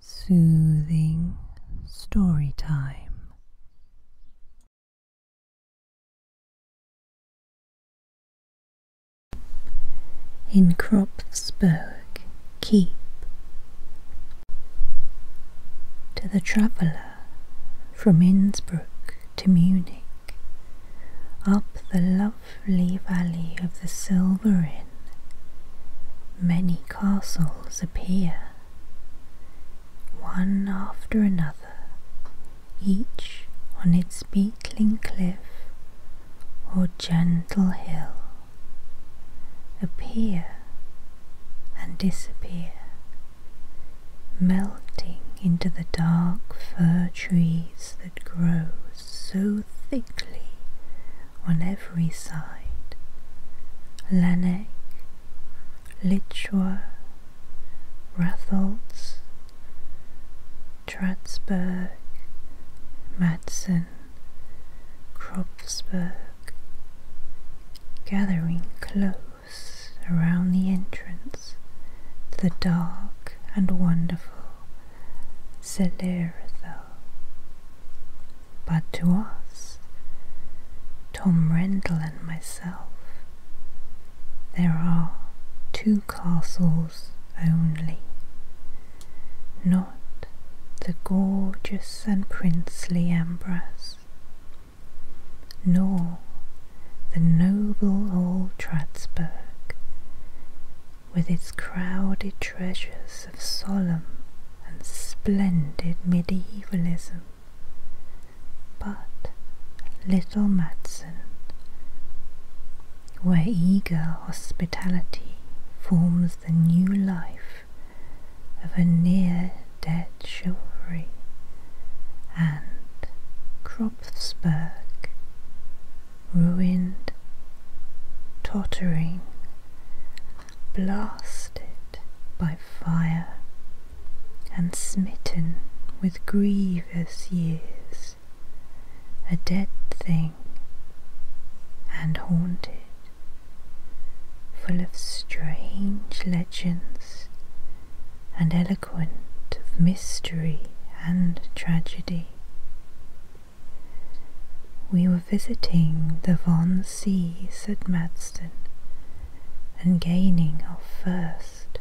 Soothing story time. In Kropfsburg Keep. To the traveller from Innsbruck to Munich, up the lovely valley of the Silver many castles appear, one after another, each on its beetling cliff or gentle hill, appear and disappear, melting into the dark fir trees that grow so thickly on every side. Lanek, Lichwa, Ratholtz, Tratsburg, Madsen, Kropfsburg, gathering close around the entrance the dark and wonderful Celerotho. But to us, Tom Rendle and myself, there are two castles only, not the gorgeous and princely Ambras, nor the noble old Tratsburg, with its crowded treasures of solemn and splendid medievalism. But little Matson, where eager hospitality forms the new life of a near dead chivalry, and Kropfsberg, ruined, tottering, blasted by fire, and smitten with grievous years, a dead thing and haunted, full of strange legends and eloquent of mystery and tragedy. We were visiting the Von Sees at Madston and gaining our first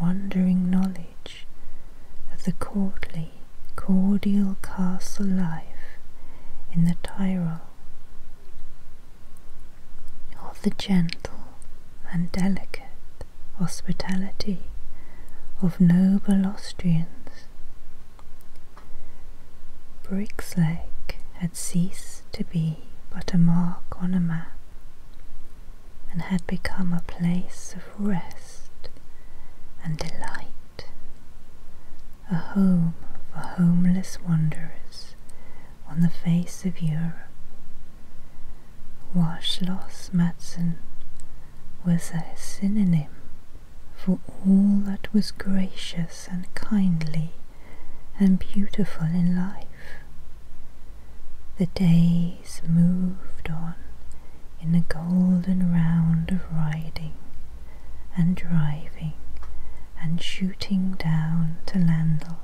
wondering knowledge of the courtly, cordial castle life in the Tyrol, of the gentle and delicate hospitality of noble Austrians Briggs Lake had ceased to be but a mark on a map and had become a place of rest and delight, a home for homeless wanderers on the face of Europe. Wash Matson was a synonym for all that was gracious and kindly and beautiful in life. The days moved on in a golden round of riding and driving and shooting down to Landel,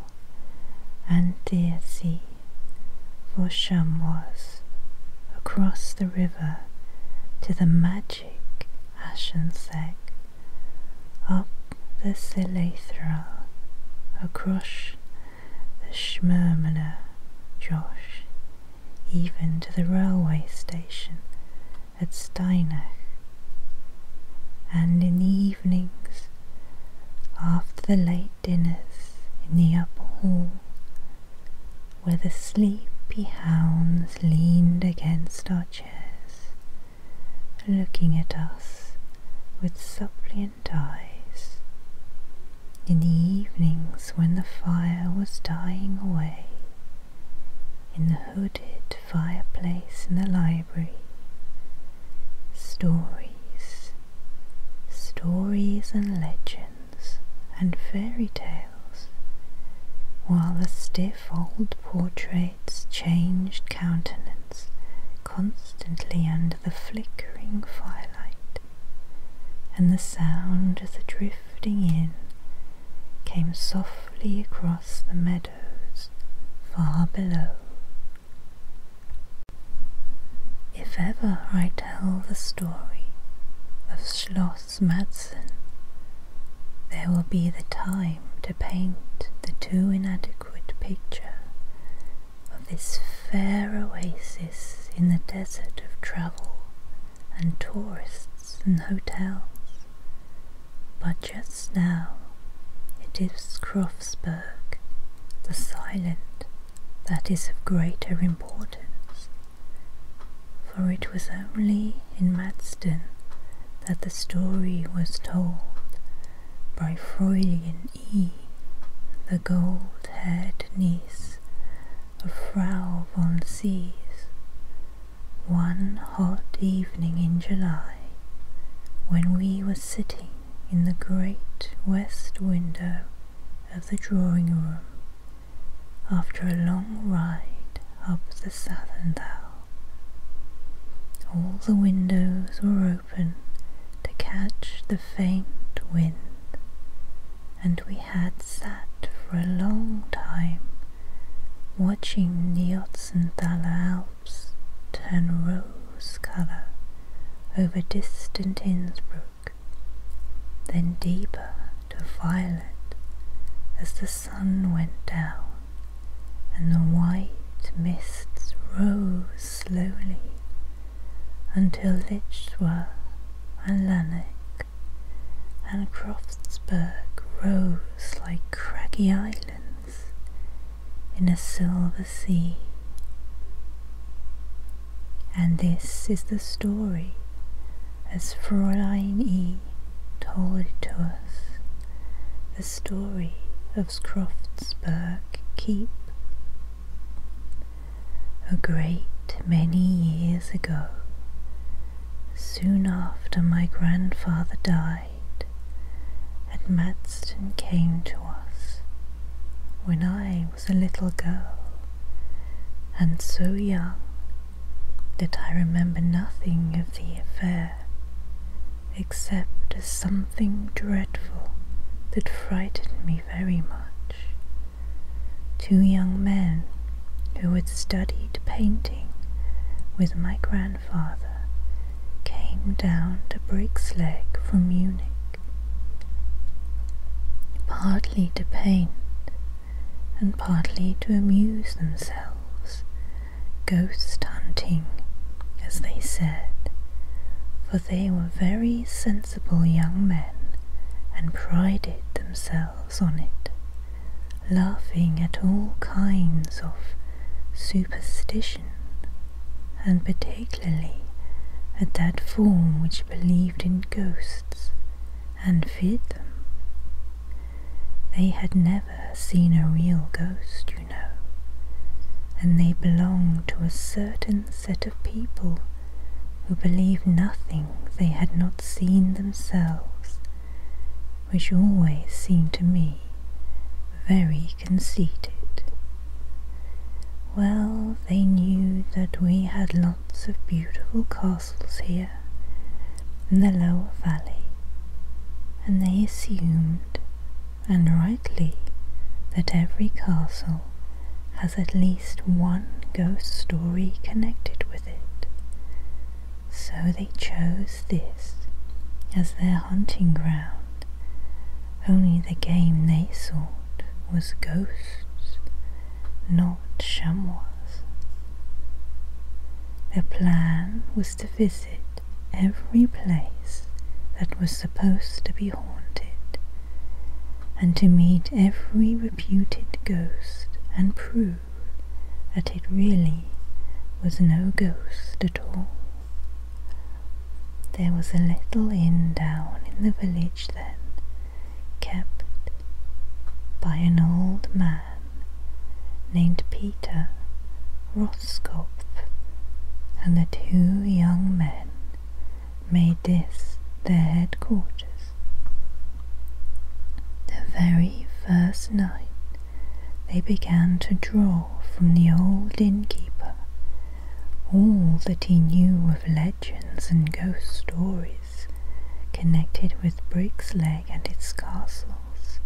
and Deersey, for Sham was across the river to the magic Ashenseg, up the Silethral, across the Shmermana Josh, even to the railway station at Steinach. And in the evenings, after the late dinners in the upper hall, where the sleepy hounds leaned against our chairs, looking at us with suppliant eyes. In the evenings when the fire was dying away, in the hooded fireplace in the library, stories, stories and legends and fairy tales, while the stiff old portrait's changed countenance constantly under the flickering firelight, and the sound of the drifting inn came softly across the meadows far below. If ever I tell the story of Schloss Madsen, there will be the time to paint the too inadequate picture of this fair oasis in the desert of travel and tourists and hotels. But just now it is Krofsberg, the silent that is of greater importance, for it was only in Madston that the story was told by Freudian E, the gold-haired niece of Frau von Sees, one hot evening in July when we were sitting in the great west window of the drawing room after a long ride up the Southern Sathendal. All the windows were open to catch the faint wind, and we had sat for a long time watching the Otzenthaler Alps turn rose colour over distant Innsbruck then deeper to violet as the sun went down and the white mists rose slowly until Lichswa and Lanark and Croftsburg rose like craggy islands in a silver the And this is the story as Fräulein E told it to us, the story of Scroftsburg Keep. A great many years ago, soon after my grandfather died, and Madston came to us when I was a little girl, and so young that I remember nothing of the affair except as something dreadful that frightened me very much. Two young men who had studied painting with my grandfather came down to Briggsleg from Munich partly to paint and partly to amuse themselves, ghost hunting, as they said, for they were very sensible young men and prided themselves on it, laughing at all kinds of superstitions and particularly at that form which believed in ghosts and feared them. They had never seen a real ghost, you know, and they belonged to a certain set of people who believe nothing they had not seen themselves, which always seemed to me very conceited. Well, they knew that we had lots of beautiful castles here in the lower valley, and they assumed, and rightly, that every castle has at least one ghost story connected with it. So they chose this as their hunting ground only the game they sought was ghosts, not chamois. Their plan was to visit every place that was supposed to be haunted, and to meet every reputed ghost and prove that it really was no ghost at all. There was a little inn down in the village then, kept by an old man named Peter Roskopf, and the two young men made this their headquarters. The very first night they began to draw from the old innkeeper all that he knew of legends and ghost stories connected with Brixleg and its castles,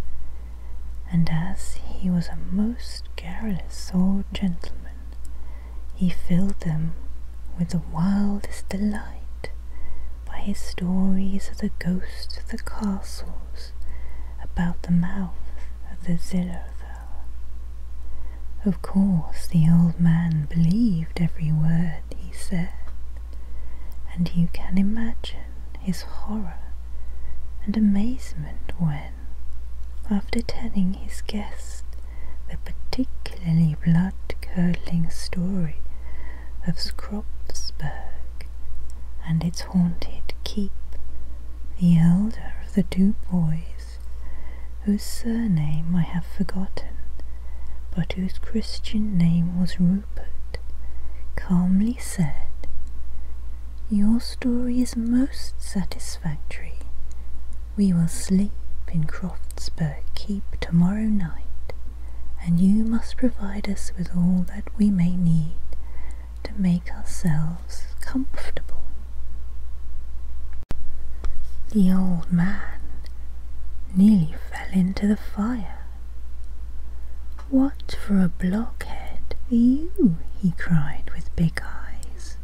and as he was a most garrulous old gentleman, he filled them with the wildest delight by his stories of the ghosts of the castles about the mouth of the Zillow of course, the old man believed every word he said, and you can imagine his horror and amazement when, after telling his guest the particularly blood-curdling story of Skropsberg and its haunted keep, the elder of the two boys, whose surname I have forgotten, but whose Christian name was Rupert, calmly said, Your story is most satisfactory. We will sleep in Croftsburg Keep tomorrow night, and you must provide us with all that we may need to make ourselves comfortable. The old man nearly fell into the fire. What for a blockhead you? he cried with big eyes.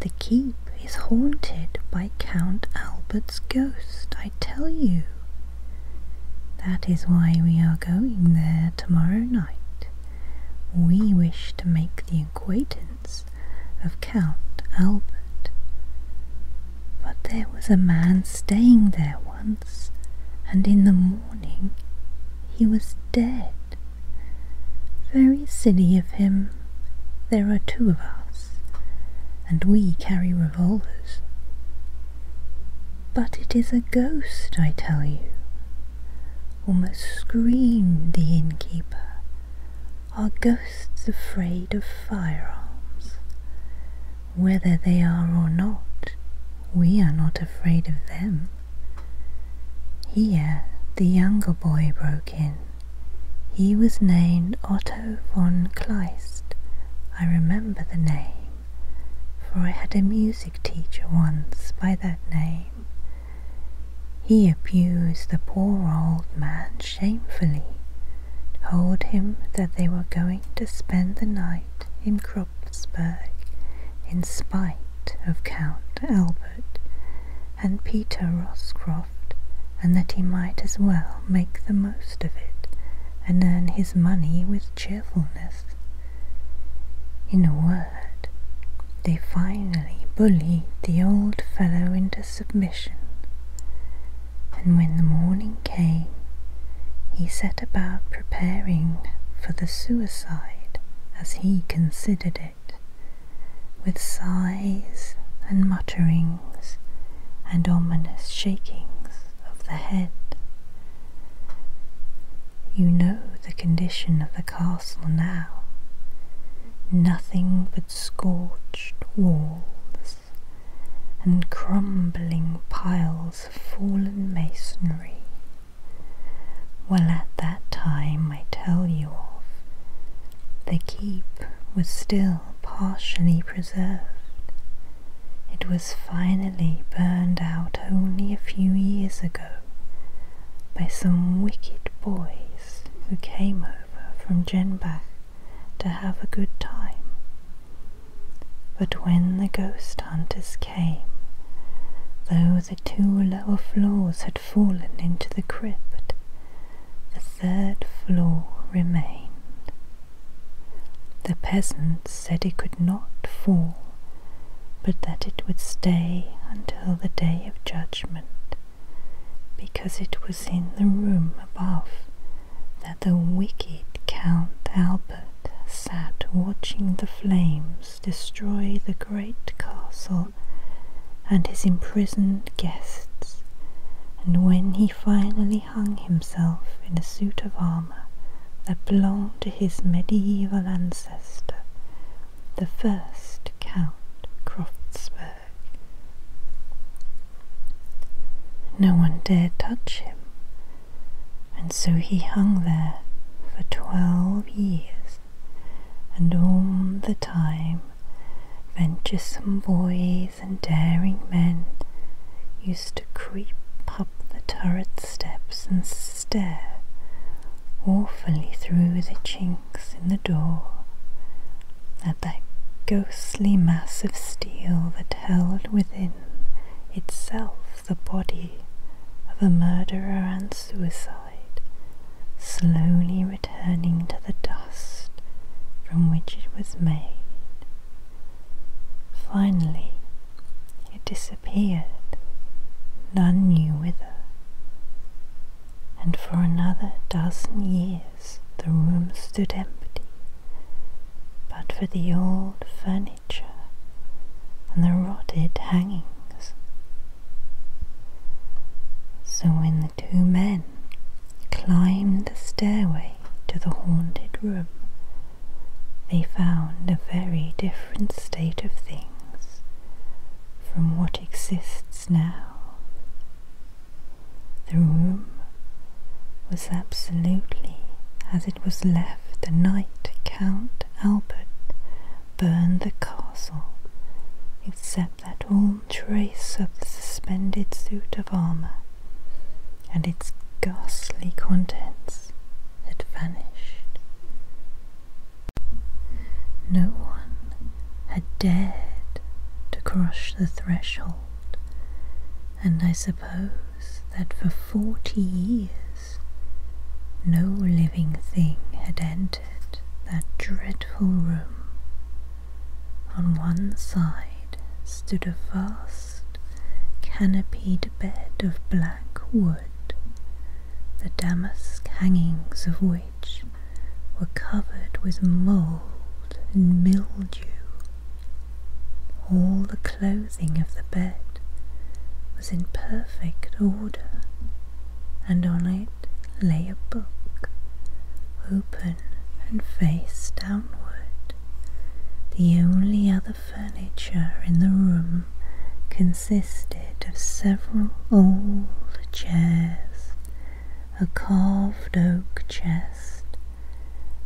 The keep is haunted by Count Albert's ghost, I tell you. That is why we are going there tomorrow night we wish to make the acquaintance of Count Albert. But there was a man staying there once, and in the morning he was dead. Very silly of him. There are two of us, and we carry revolvers. But it is a ghost, I tell you, almost screamed the innkeeper. Are ghosts afraid of firearms? Whether they are or not, we are not afraid of them. Here the younger boy broke in. He was named Otto von Kleist. I remember the name for I had a music teacher once by that name. He abused the poor old man shamefully, told him that they were going to spend the night in Kropsberg in spite of Count Albert and Peter Roscroft, and that he might as well make the most of it and earn his money with cheerfulness. In a word, they finally bullied the old fellow into submission, and when the morning came, he set about preparing for the suicide as he considered it, with sighs and mutterings and ominous shakings of the head. You know the condition of the castle now. Nothing but scorched walls and crumbling piles of fallen masonry. Well, at that time I tell you of, the keep was still partially preserved, it was finally burned out only a few years ago by some wicked boys who came over from Jenbach to have a good time. But when the ghost hunters came, though the two lower floors had fallen into the crypt, the third floor remained. The peasants said it could not fall, but that it would stay until the day of judgment, because it was in the room above that the wicked Count Albert sat watching the flames destroy the great castle and his imprisoned guests, and when he finally hung himself in a suit of armour, that belonged to his medieval ancestor, the first Count Croftsburg. No one dared touch him, and so he hung there for twelve years, and all the time venturesome boys and daring men used to creep up the turrets. Steps and stare awfully through the chinks in the door at that ghostly mass of steel that held within itself the body of a murderer and suicide, slowly returning to the dust from which it was made. Finally, it disappeared, none knew whither. And for another dozen years the room stood empty, but for the old furniture and the rotted hangings. So when the two men climbed the stairway, to the haunted room, they found a very different state of things from what exists now. The room was absolutely as it was left the night Count Albert burned the castle, except that all trace of the suspended suit of armour and its ghastly contents had vanished. No one had dared to cross the threshold, and I suppose that for forty years no living thing had entered that dreadful room on one side stood a vast, canopied bed of black wood, the damask hangings of which were covered with mould and mildew. All the clothing of the bed was in perfect order, and on it lay a book, open and face downward. The only other furniture in the room consisted of several old chairs, a carved oak chest,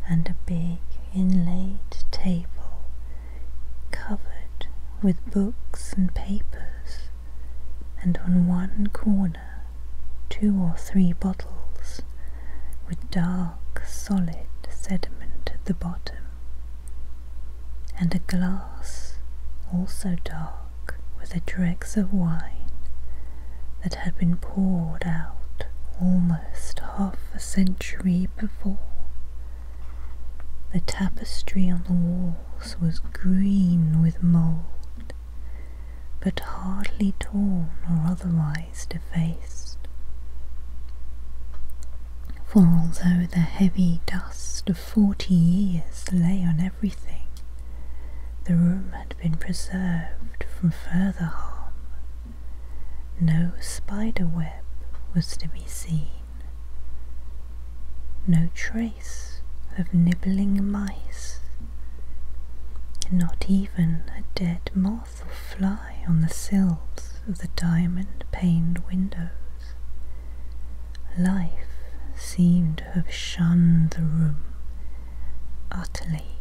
and a big inlaid table covered with books and papers, and on one corner two or three bottles with dark, solid sediment at the bottom, and a glass also dark with the dregs of wine that had been poured out almost half a century before. The tapestry on the walls was green with mould, but hardly torn or otherwise. Face to face. For although the heavy dust of forty years lay on everything, the room had been preserved from further harm. No spider web was to be seen, no trace of nibbling mice, not even a dead moth moth or fly on the sills of the diamond paned windows. Life seemed to have shunned the room utterly,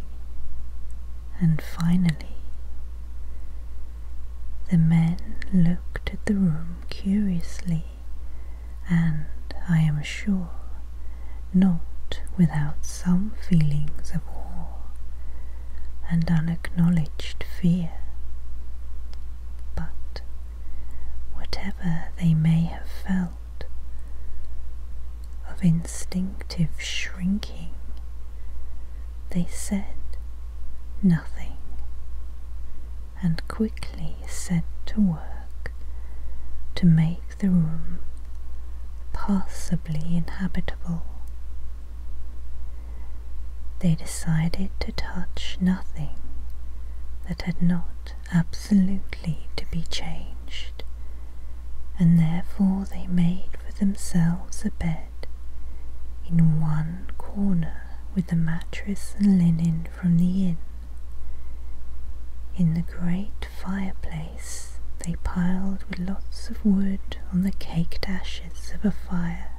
and finally the men looked at the room curiously, and, I am sure, not without some feelings of awe and unacknowledged fear. But whatever they may have felt of instinctive shrinking, they said nothing and quickly set to work to make the room possibly inhabitable. They decided to touch nothing that had not absolutely to be changed, and therefore they made for themselves a bed in one corner with the mattress and linen from the inn. In the great fireplace they piled with lots of wood on the caked ashes of a fire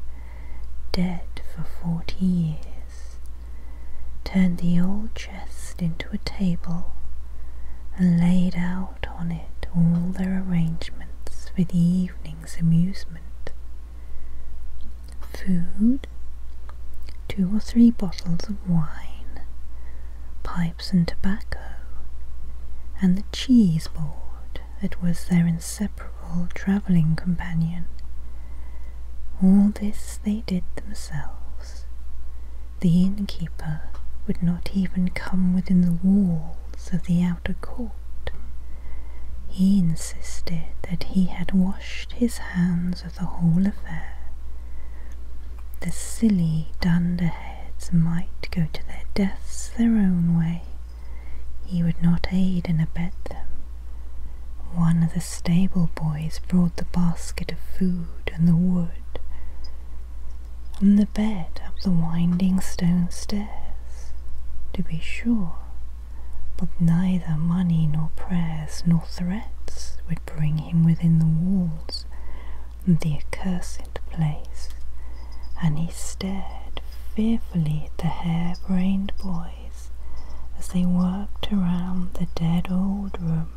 dead for forty years, turned the old chest into a table, and laid out on it all their arrangements for the evening's amusement. Food, two or three bottles of wine, pipe and tobacco, and the cheese board that was their inseparable travelling companion. All this they did themselves. The innkeeper would not even come within the walls of the outer court. He insisted that he had washed his hands of the whole affair, the silly dunderheads might go to their deaths their own way. He would not aid and abet them. One of the stable boys brought the basket of food and the wood. On the bed up the winding stone stairs, to be sure, but neither money nor prayers nor threats would bring him within the walls the accursed place, and he stared fearfully at the hare-brained boys as they worked around the dead old room,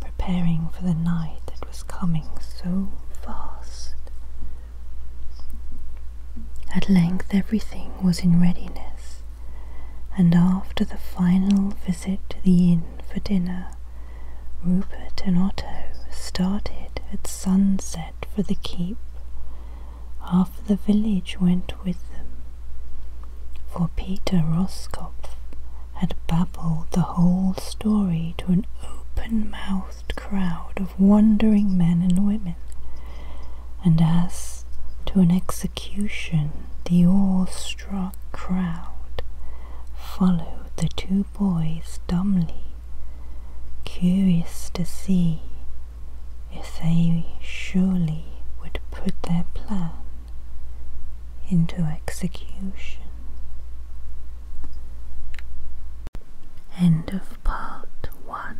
preparing for the night that was coming so fast. At length everything was in readiness, and after the final visit to the inn for dinner, Rupert and Otto started at sunset for the keep. Half the village went with them, for Peter Roskopf had babbled the whole story to an open-mouthed crowd of wondering men and women, and as to an execution the awe crowd followed the two boys dumbly, curious to see if they surely would put their plan into execution. End of part one.